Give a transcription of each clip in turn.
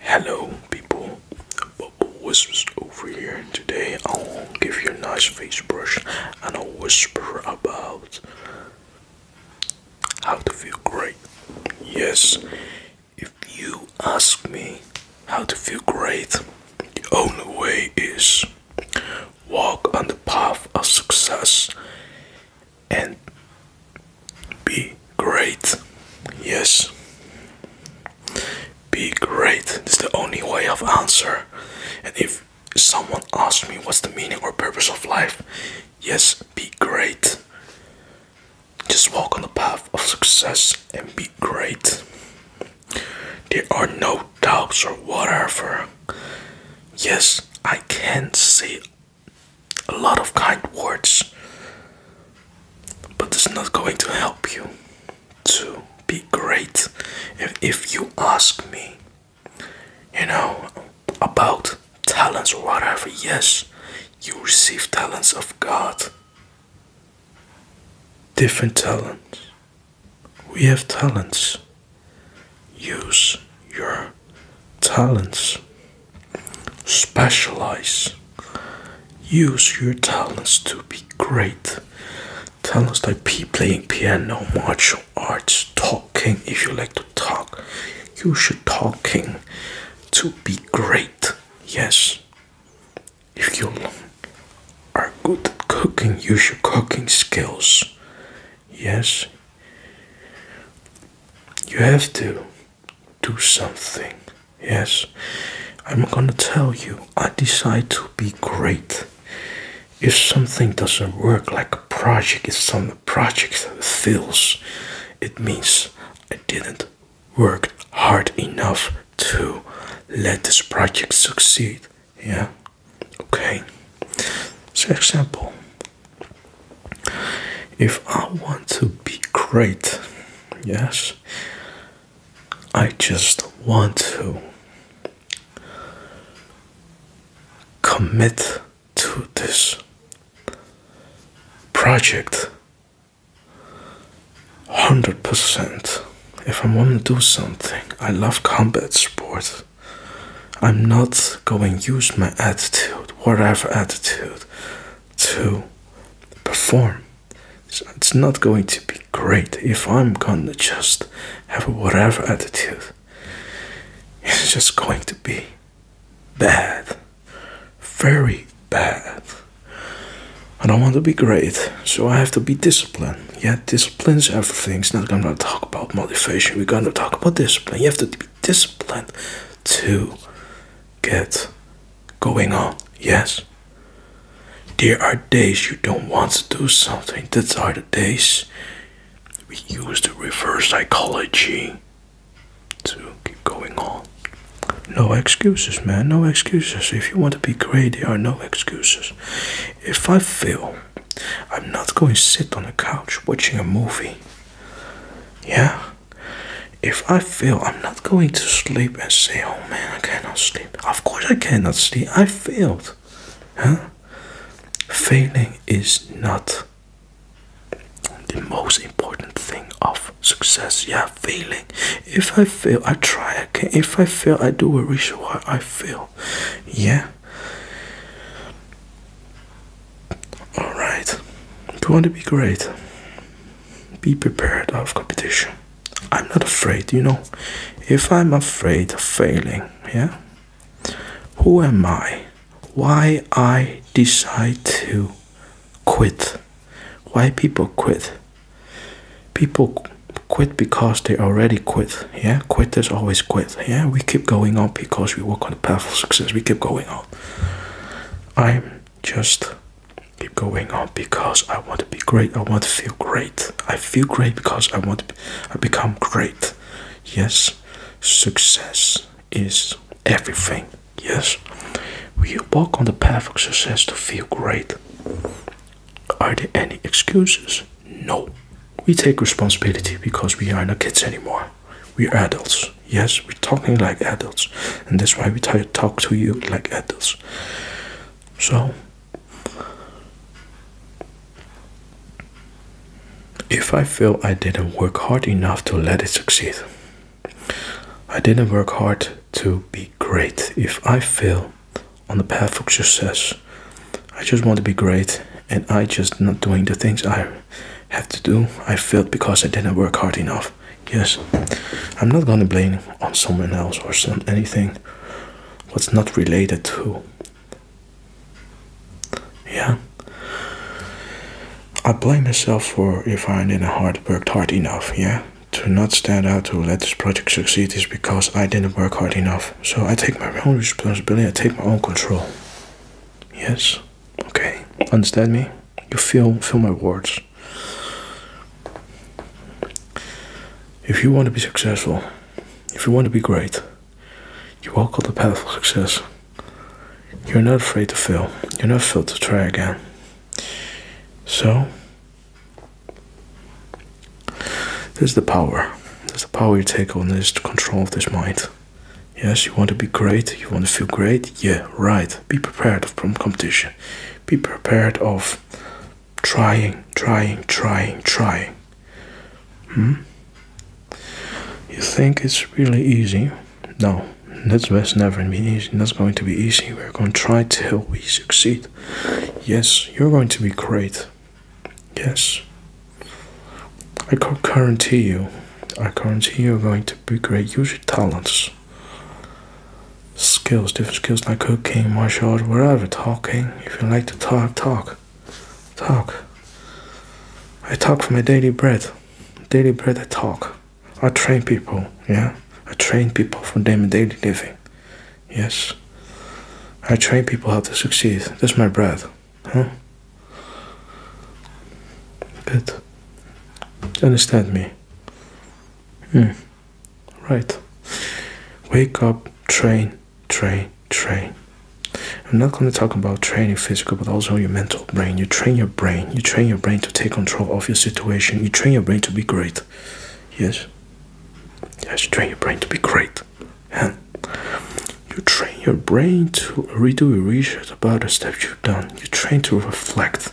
Hello, people. Bubble Whispers over here. Today, I'll give you a nice face brush and I'll whisper about how to feel great. Yes, if you ask me how to feel great, the only way is walk on the path of success and be great. Yes. Be great. This is the only way of answer. And if someone asks me what's the meaning or purpose of life, yes, be great. Just walk on the path of success and be great. There are no doubts or whatever. Yes, I can say a lot of kind words, but it's not going to help you to be great if, if you ask me you know about talents or whatever yes you receive talents of god different talents we have talents use your talents Specialize. Use your talents to be great. Talents like playing piano, martial arts, talking. If you like to talk, you should talking to be great. Yes. If you are good at cooking, use your cooking skills. Yes. You have to do something. Yes, I'm gonna tell you, I decide to be great. If something doesn't work, like a project, if some project fails, it means I didn't work hard enough to let this project succeed. Yeah, okay. So, example if I want to be great, yes, I just want to commit to this project 100%. If I am going to do something, I love combat sport. I'm not going to use my attitude, whatever attitude to perform. it's not going to be great if I'm gonna just have a whatever attitude. It's just going to be bad. Very bad. I don't want to be great, so I have to be disciplined. Yeah, discipline's everything. It's not gonna talk about motivation, we're gonna talk about discipline. You have to be disciplined too. Get going on, yes? There are days you don't want to do something, these are the days we use the reverse psychology to keep going on. No excuses, man, no excuses. If you want to be great, there are no excuses. If I fail, I'm not going to sit on a couch watching a movie. Yeah? If I fail, I'm not going to sleep and say, oh man, I cannot sleep. Of course, I cannot sleep. I failed. Huh? Failing is not the most important thing of success. Yeah, failing. If I fail, I try again. If I fail, I do a reason why I fail. Yeah. Alright. Do you want to be great? be prepared of competition. I'm not afraid, you know. If I'm afraid of failing, yeah. Who am I? Why I decide to quit? Why people quit? People quit because they already quit. Yeah, quitters always quit. Yeah, we keep going up because we work on the path of success. We keep going up. I'm just keep going on because I want to be great. I want to feel great. I feel great because I want to I become great. Yes, success is everything. Yes, we walk on the path of success to feel great. Are there any excuses? No. We take responsibility because we are not kids anymore. We're adults. Yes, we're talking like adults, and that's why we try to talk to you like adults. So, if I feel I didn't work hard enough to let it succeed, I didn't work hard to be great. If I fail on the path of success, I just want to be great and I just not doing the things I have to do. I failed because I didn't work hard enough. Yes, I'm not gonna blame on someone else or some anything what's not related to. Yeah, I blame myself for if I didn't hard worked hard enough. Yeah, to not stand out to let this project succeed is because I didn't work hard enough. So I take my own responsibility. I take my own control. Yes. Okay. Understand me? You feel feel my words. If you want to be successful, if you want to be great, you walk on the path of success. You're not afraid to fail. You're not afraid to try again. So, there's the power. There's the power you take on this control of this mind. Yes, you want to be great. You want to feel great. Yeah, right. Be prepared from competition be prepared of trying, trying, trying, trying. Hmm? You think it's really easy? No, that's never going to be easy. That's going to be easy. We're going to try till we succeed. Yes, you're going to be great. Yes. I can guarantee you. I guarantee you're going to be great. Use your talents skills, different skills like cooking, martial art, whatever, talking. If you like to talk, talk. Talk. I talk for my daily bread. Daily bread I talk. I train people, yeah? I train people for their daily living. Yes. I train people how to succeed. That's my bread. Huh? Good. Understand me. Hmm. Right. Wake up, train, train, train. I'm not going to talk about training physical, but also your mental brain. You train your brain. You train your brain to take control of your situation. You train your brain to be great. Yes. Yes, you train your brain to be great. And you train your brain to redo your research about the steps you've done. You train to reflect.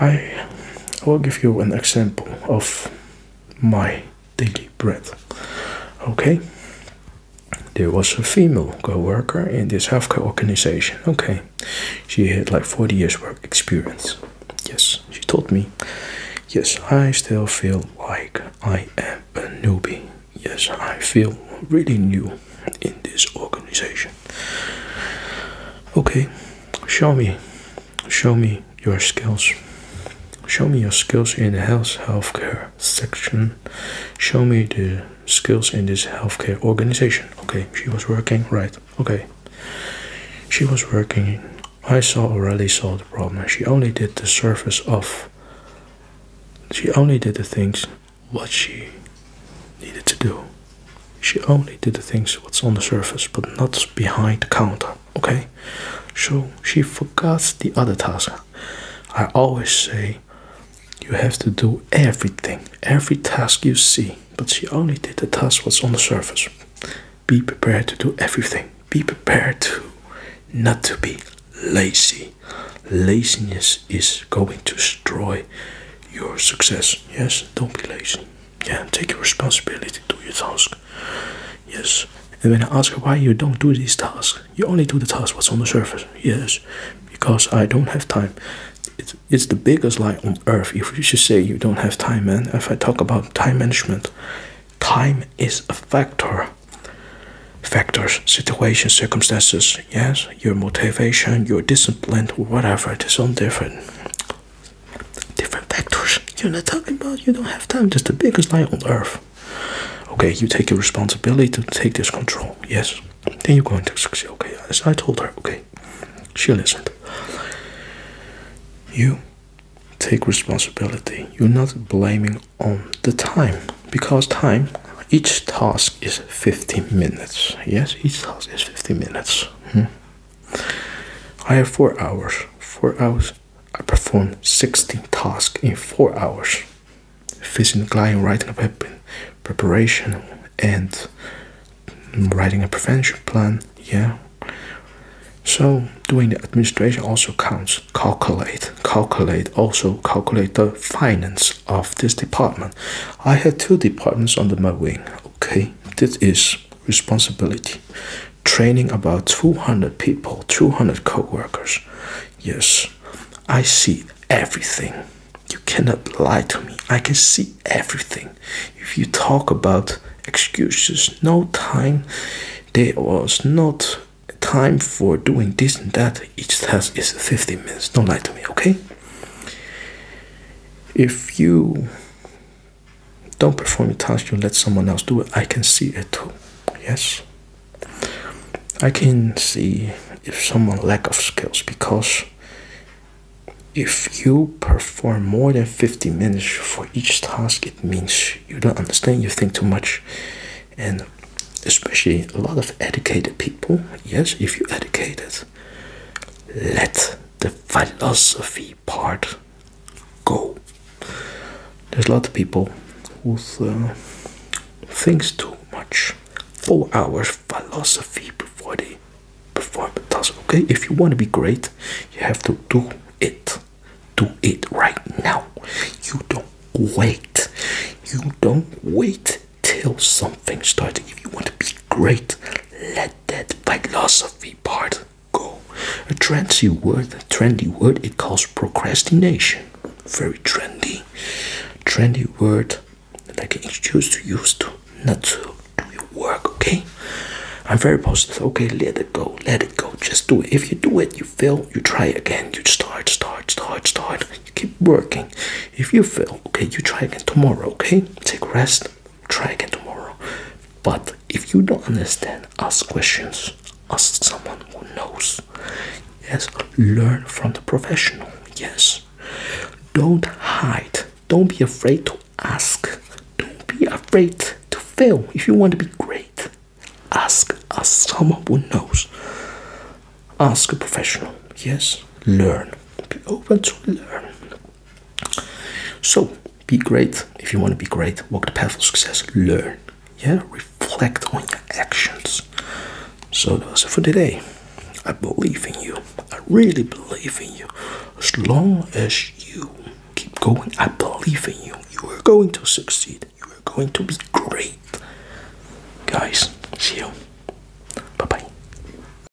I will give you an example of my daily bread. Okay, there was a female co worker in this healthcare organization. Okay, she had like 40 years' work experience. Yes, she told me. Yes, I still feel like I am a newbie. Yes, I feel really new in this organization. Okay, show me, show me your skills. Show me your skills in the health healthcare section. Show me the skills in this healthcare organization. Okay, she was working, right? Okay, she was working. I saw already saw the problem. She only did the surface of. She only did the things what she needed to do she only did the things what's on the surface but not behind the counter okay so she forgets the other task i always say you have to do everything every task you see but she only did the task what's on the surface be prepared to do everything be prepared to not to be lazy laziness is going to destroy your success. Yes, don't be lazy. Yeah, take your responsibility, do your task. Yes. And when I ask why you don't do these tasks, you only do the task what's on the surface. Yes, because I don't have time. It's, it's the biggest lie on earth if you should say you don't have time, man. If I talk about time management, time is a factor. Factors, situations, circumstances, yes, your motivation, your discipline, whatever. It is all different. Different factors. You're not talking about you don't have time. Just the biggest lie on earth. Okay, you take your responsibility to take this control. Yes. Then you're going to succeed. Okay, as I told her, okay. She listened. You take responsibility. You're not blaming on the time because time each task is 15 minutes yes each task is 15 minutes hmm? I have four hours. Four hours. I perform 16 tasks in four hours. Facing client, writing a weapon, preparation, and writing a prevention plan. Yeah. So doing the administration also counts. Calculate, calculate, also calculate the finance of this department. I have two departments under my wing. Okay, this is responsibility. Training about 200 people, 200 co workers. Yes, I see everything. You cannot lie to me. I can see everything. If you talk about excuses, no time, there was not time for doing this and that. Each task is 15 minutes. Don't lie to me, okay? If you don't perform a task, you let someone else do it. I can see it too. Yes, I can see if someone lack of skills because if you perform more than 50 minutes for each task, it means you don't understand. You think too much, and especially a lot of educated people. Yes, if you educated, let the philosophy part go. There's a lot of people who uh, thinks too much. Four hours philosophy before they perform a task. Okay, if you want to be great, you have to do it. Do it right now. You don't wait. You don't wait till something starts. If you want to be great, let that philosophy part go. A trendy word, a trendy word, it calls procrastination. Very trendy. Trendy word that I can introduce to use to not to do your work, okay? I'm very positive. Okay, let it go, let it go. Just do it. If you do it, you fail, you try again. You start, start, start, start. You keep working. If you fail, okay, you try again tomorrow, okay? Take rest, try again tomorrow but if you don't understand ask questions ask someone who knows yes learn from the professional yes don't hide don't be afraid to ask don't be afraid to fail if you want to be great ask a someone who knows ask a professional yes learn be open to learn so be great. If you want to be great, walk the path of success. Learn. Yeah, reflect on your actions. So that's it for today. I believe in you. I really believe in you. As long as you keep going, I believe in you. You are going to succeed. You are going to be great. Guys, see you. Bye bye.